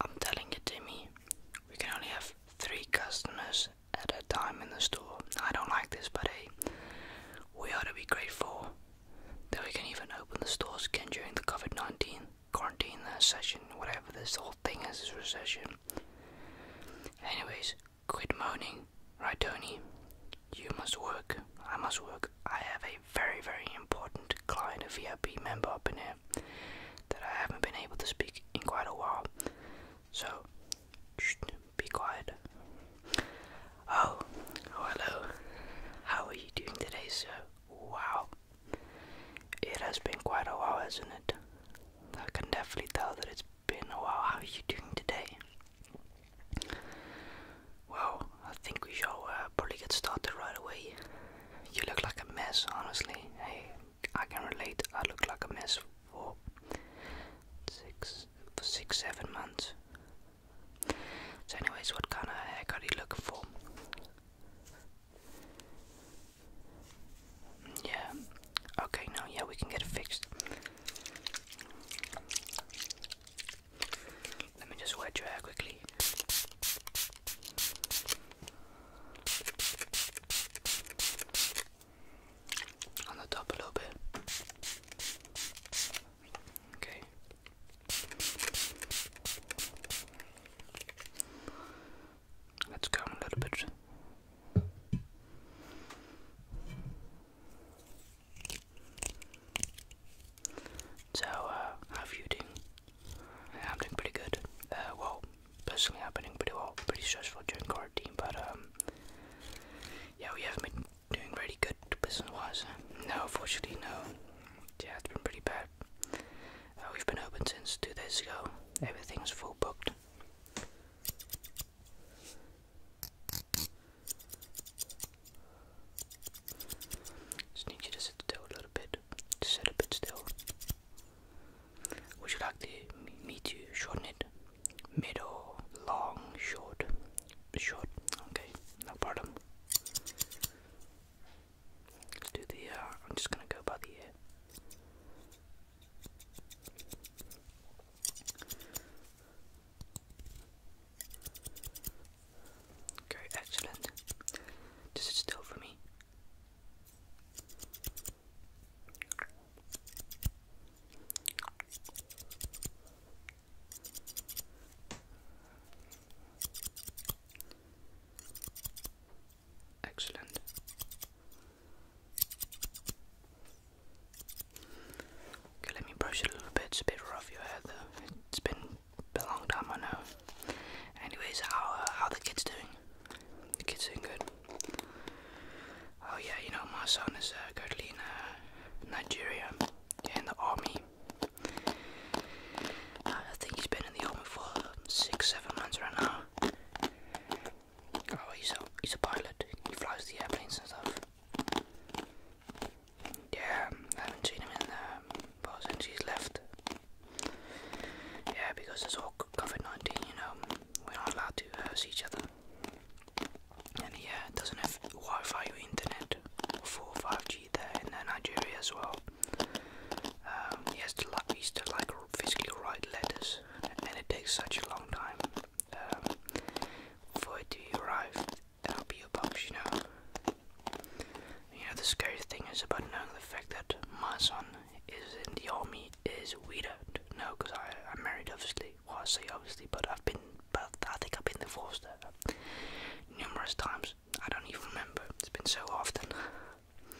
I'm telling you, Timmy, we can only have three customers at a time in the store. I don't like this, but hey, we ought to be grateful that we can even open the stores again during the COVID 19 quarantine session, whatever this whole thing is, this recession. Anyways, quit moaning, right, Tony? You must work. I must work. I have a very, very important client, of your VIP member up in here that I haven't been able to speak in quite a while. So, be quiet. Oh, oh, hello. How are you doing today, sir? Wow. It has been quite a while, hasn't it? I can definitely tell that it's been a while. How are you doing today? Well, I think we shall uh, probably get started right away. You look like a mess, honestly. Hey, I can relate. I look like a mess for six, seven months. So, anyways, what kind of haircut are you looking for? Yeah. Okay, now yeah, we can get it fixed. Let me just wet your hair quickly on the top a little bit. Okay. Let's go a little bit. So, uh, how are you doing? I'm doing pretty good. Uh, well, personally, i am doing pretty well. Pretty stressful during quarantine, but um, yeah, we have not been doing really good business-wise. No, unfortunately, no. Yeah, it's been pretty bad. Uh, we've been open since two days ago. Everything's full booked. Just need you to a little bit sit a bit still. Would you like the, me to shorten it? Middle, long, short, short. Okay, no problem. Let's do the. Uh, I'm just gonna go by the ear. Okay, excellent. Does it still for me? Excellent. Okay, let me brush it a little bit. It's a bit rough your hair though. It's been been a long time I know. Anyways, how uh, how the kids doing? The kids doing good. Oh yeah, you know my son is uh, currently in uh, Nigeria, in the army. Uh, I think he's been in the army for six, seven months right now. Oh, he's a he's a pilot. He flies the airplanes and stuff. Yeah, I haven't seen him in um, but since he's left, yeah, because it's all COVID 19, you know, we're not allowed to uh, see each other. And he it doesn't have Wi Fi or internet for 5G there in uh, Nigeria as well. Um, he has to like, he to like physically write letters, and it takes such a long time um, for it to arrive and be published, you know. You know, the scary thing is about knowing the fact that my son is in the army is we don't know because I'm married, obviously. Well, I say obviously, but I've been, but I think I've been divorced uh, numerous times. I don't even remember. It's been so often.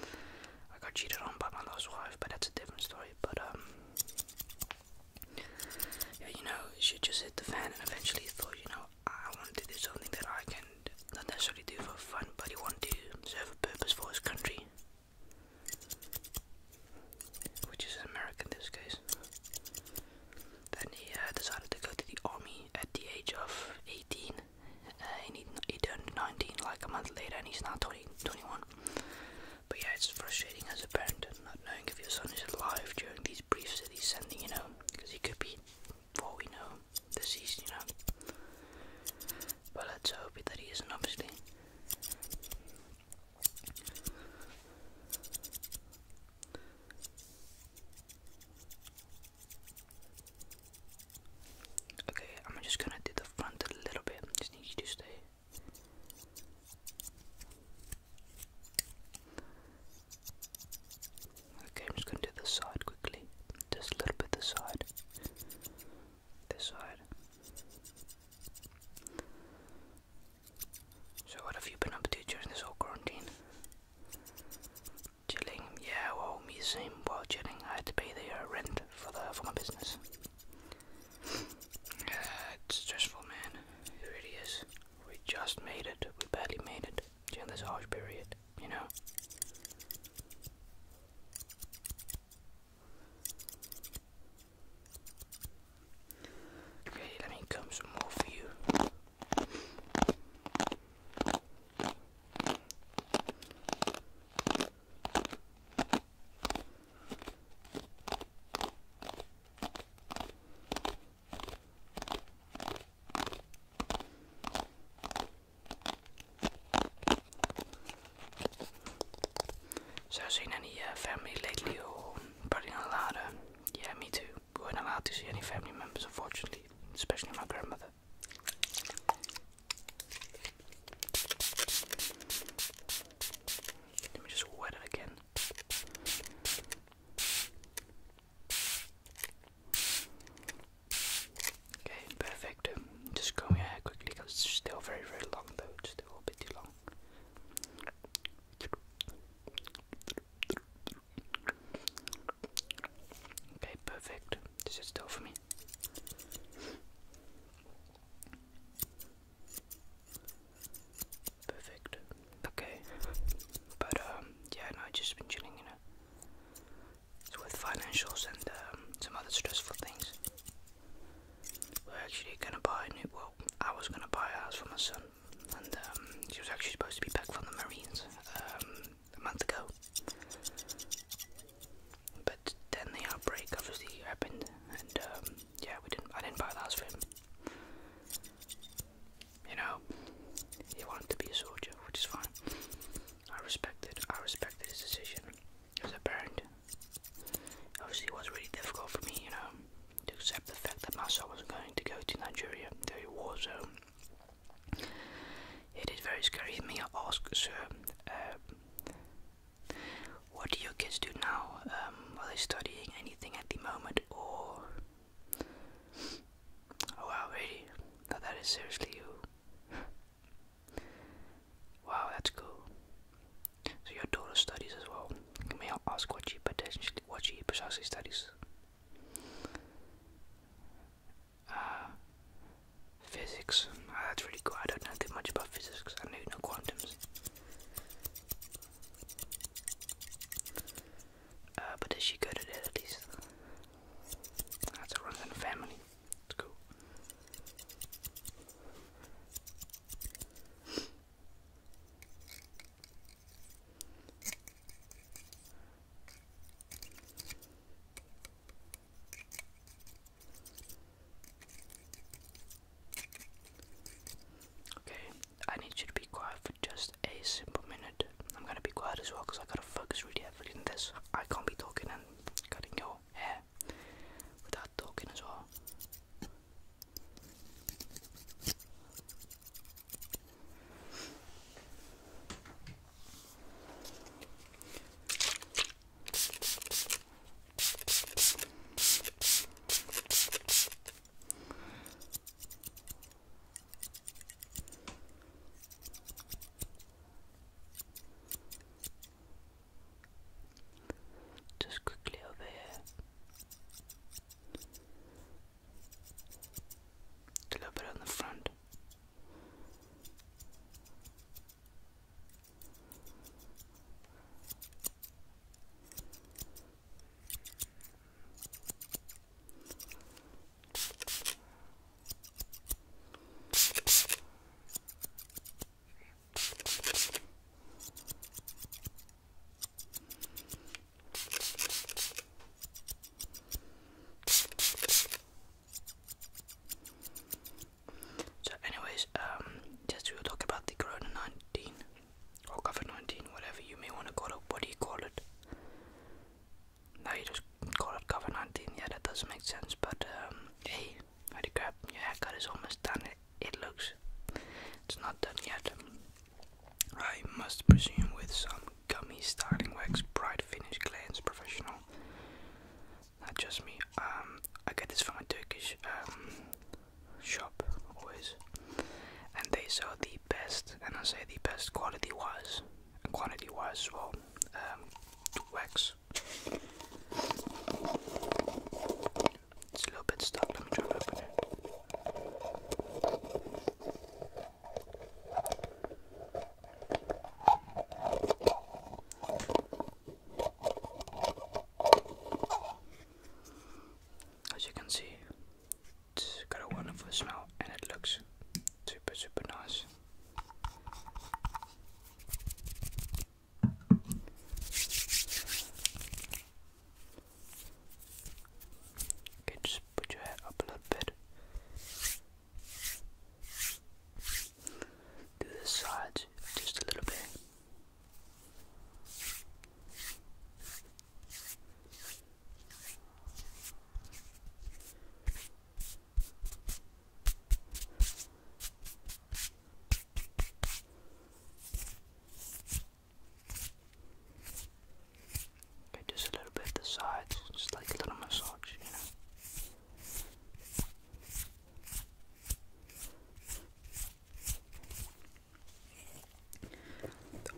I got cheated on by my last wife, but that's a different story. But um, yeah, you know, she just hit the fan, and eventually thought, you know, I want to do something that I can not necessarily do for fun, but he want to serve a purpose for his country, which is America in this case. Then he uh, decided to go to the army at the age of 18. Uh, he, turned 19 like a month later, and he's now 20, 21. But yeah, it's frustrating as a parent not knowing if your son is alive during these briefs that he's sending, you know, because he could be for all we know, deceased, you know. But let's hope that he isn't, obviously. Okay, I'm just gonna do the front a little bit. Just need you to stay. Okay, i just gonna do the side quickly. Just a little bit The side. This side. So what have you been up to during this whole quarantine? Chilling, yeah, well me same while chilling. I had to pay the uh, rent for the for my business. Uh, it's stressful man. It really is. We just made it. We barely made it during this harsh period, you know. Okay, let me come some more for you. So I've seen any family lately or putting a Yeah, me too. We weren't allowed to see any family members, unfortunately, especially my grandmother. Let me just wet it again. Okay, perfect. Um, just comb ahead quickly because it's still very, very long though. It's still a bit too long. Okay, perfect. This dus is still for me. Perfect. Okay. But um yeah, no, I've just been chilling, you know. with financials and um, some other stressful things. We're actually gonna buy a new. Well, I was gonna buy a house for my son, and um, he was actually supposed to be back from the Marines um, a month ago. But then the outbreak obviously happened, and yeah, we didn't. I didn't buy the house for him. You know, he wanted to be a soldier, which is fine. I respected, I respected his decision. As a parent, obviously it was really difficult for me, you know, to accept the fact that my son was going to go to Nigeria, to a war zone. It is very scary. Me, I ask, sir, uh, what do your kids do now? Um, are they studying anything at the moment, or? Oh wow, really? that is seriously you. Wow, that's cool. So your daughter studies as well. May I ask what she potentially, what she precisely studies? Uh, physics. Ah, that's really cool. I don't know too much about physics. I know no quantums. Uh, but does she go to it at least? That's a run in the family. Let's go. Okay, I need you to be quiet for just a simple minute. I'm gonna be quiet as well because I gotta focus really reading this, I can't be talking and cutting your hair without talking as well. Just quickly over here. A little bit on the front. So, anyways, um, just we'll talk about the Corona 19 or COVID 19, whatever you may want to call it. What do you call it? No, you just call it COVID 19, yeah, that doesn't make sense, but um, hey, holy crap, your haircut is almost done. It, looks, it's not done yet. I must presume with some gummy styling wax, bright finish, glance, professional. Not just me. Um, I get this from a Turkish um, shop always, and they sell the best, and I say the best quality was quantity wise as well. Um, wax. It's a little bit stuck. Let me try to open As you can see, it's got a wonderful smell and it looks super super nice. Okay, just put your head up a little bit. Do the sides just a little bit just a little bit the sides, just like a little massage, you know.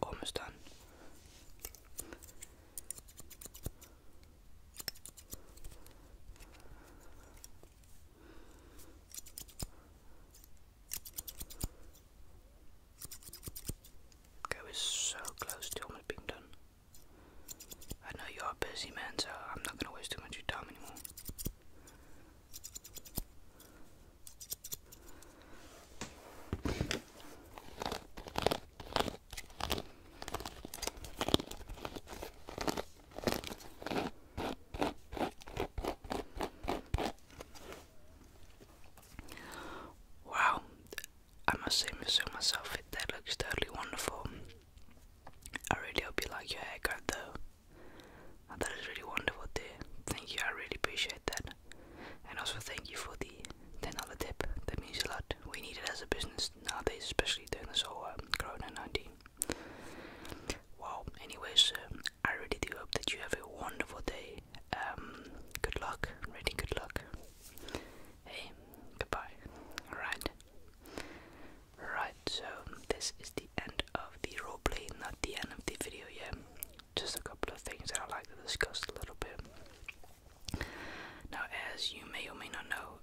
Almost done. Go is so close to almost being done. I know you are busy, man, so I'm not gonna waste too much of your time anymore. Wow, I must say, I so myself, it that looks totally wonderful. I really hope you like your haircut, though. that is really wonderful, dear. Thank you, I really appreciate that. And also, thank you for the $10 tip. That means a lot. We need it as a business nowadays, especially during the whole um, Corona 19. Well, anyways, um, I really do hope that you have a wonderful day. Um, good luck, really good luck. Hey, goodbye. Alright. Right, so this is the end of the role play, not the end of the video yet. Just a couple of things that I'd like to discuss a little bit. Now, as you may or may not know,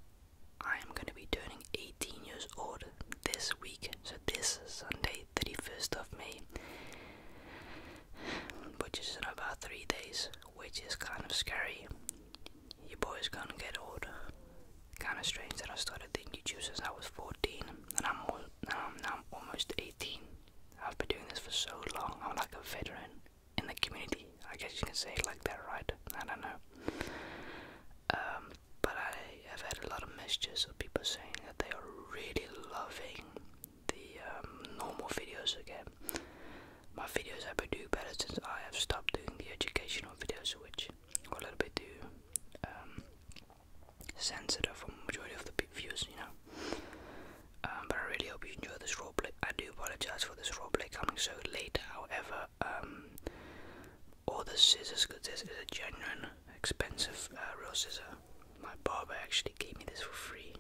I am going to be turning 18 years old this week, so this Sunday, 31st of May, which is in about three days, which is kind of scary. Your boy's gonna get old. Kind of strange that I started taking juice since I was 14, and I'm, now I'm almost 18. I've been doing this for so long, I'm like a veteran in the community. I guess you can say like that, right? I don't know. Um, but I have had a lot of messages of people saying that they are really loving the um, normal videos again. My videos have been doing better since I have stopped doing the educational videos, which were a little bit too um, sensitive for majority of the views, you know. Um, but I really hope you enjoy this role. I do apologize for this play coming so late. However, um, all the scissors, because this is a genuine, expensive uh, scissors. My barber actually gave me this for free.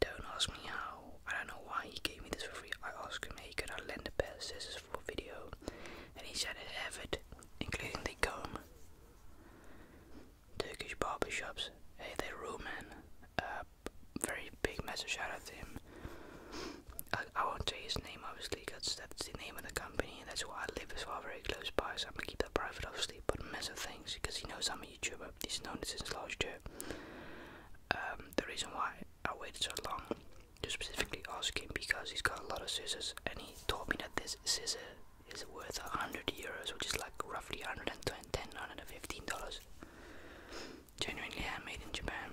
Don't ask me how. I don't know why he gave me this for free. I asked him, hey, could I lend a pair of scissors for a video? And he said it have it, including the comb. Turkish barber shops. Hey, they're Roman very big massive shout out to him. I, won't say his name obviously because that's the name of the company and that's why I live as well very close by so I'm gonna keep that private obviously but mess of things because he knows I'm a YouTuber, he's known it since last year. Um, the reason why I waited so long to specifically ask him because he's got a lot of scissors and he told me that this scissors is worth 100 euros which is like roughly 110 115 dollars genuinely handmade in Japan.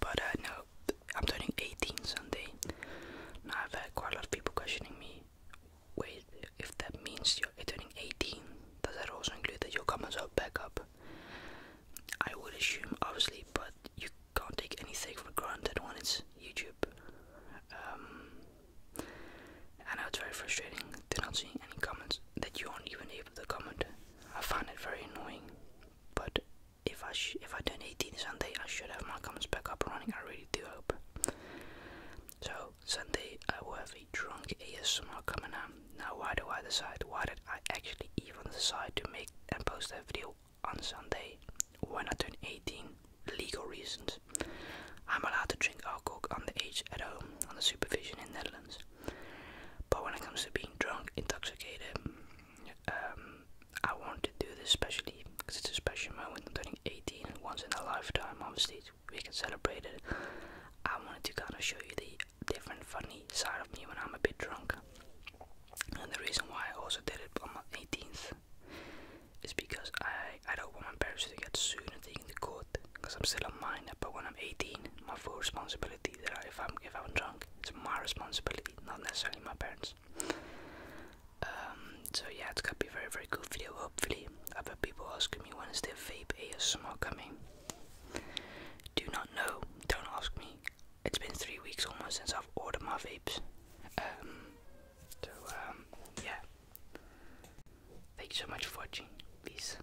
But uh, no, I'm turning 18 Sunday. Now I've had quite a lot of people questioning me. Wait, if that means you're turning 18, does that also include that you'll come as a backup? I would assume, obviously, but you can't take anything for granted when it's YouTube. Um, I know it's very frustrating. they not seeing any comments that you aren't even able to comment I find it very annoying, but if I if I turn 18 Sunday, I should have my comments back up running. I really do hope. So Sunday, I will have a drunk ASMR coming out. Now, why do I decide? Why did I actually even decide to make and post that video on Sunday when I turn 18? Legal reasons. I'm allowed to drink alcohol on the age at home under supervision in Netherlands. But when it comes to being drunk, intoxicated, um, I want to do this specially because it's a special moment. turning 18 once in a lifetime. Obviously, we can celebrate it. I wanted to kind of show you the different funny side of me when I'm a bit drunk. And the reason why I also did it on my 18th is because I, I don't want my parents to get sued and taken to court because I'm still a minor. But when I'm 18, my full responsibility if I'm if I'm drunk, it's my responsibility, not necessarily my parents. Um, so yeah, it's gonna be a very very good video. Hopefully, other people asking me when is the vape ASMR coming. Do not know. Don't ask me. It's been three weeks almost since I've ordered my vapes. Um, so um, yeah. Thank you so much for watching. Peace.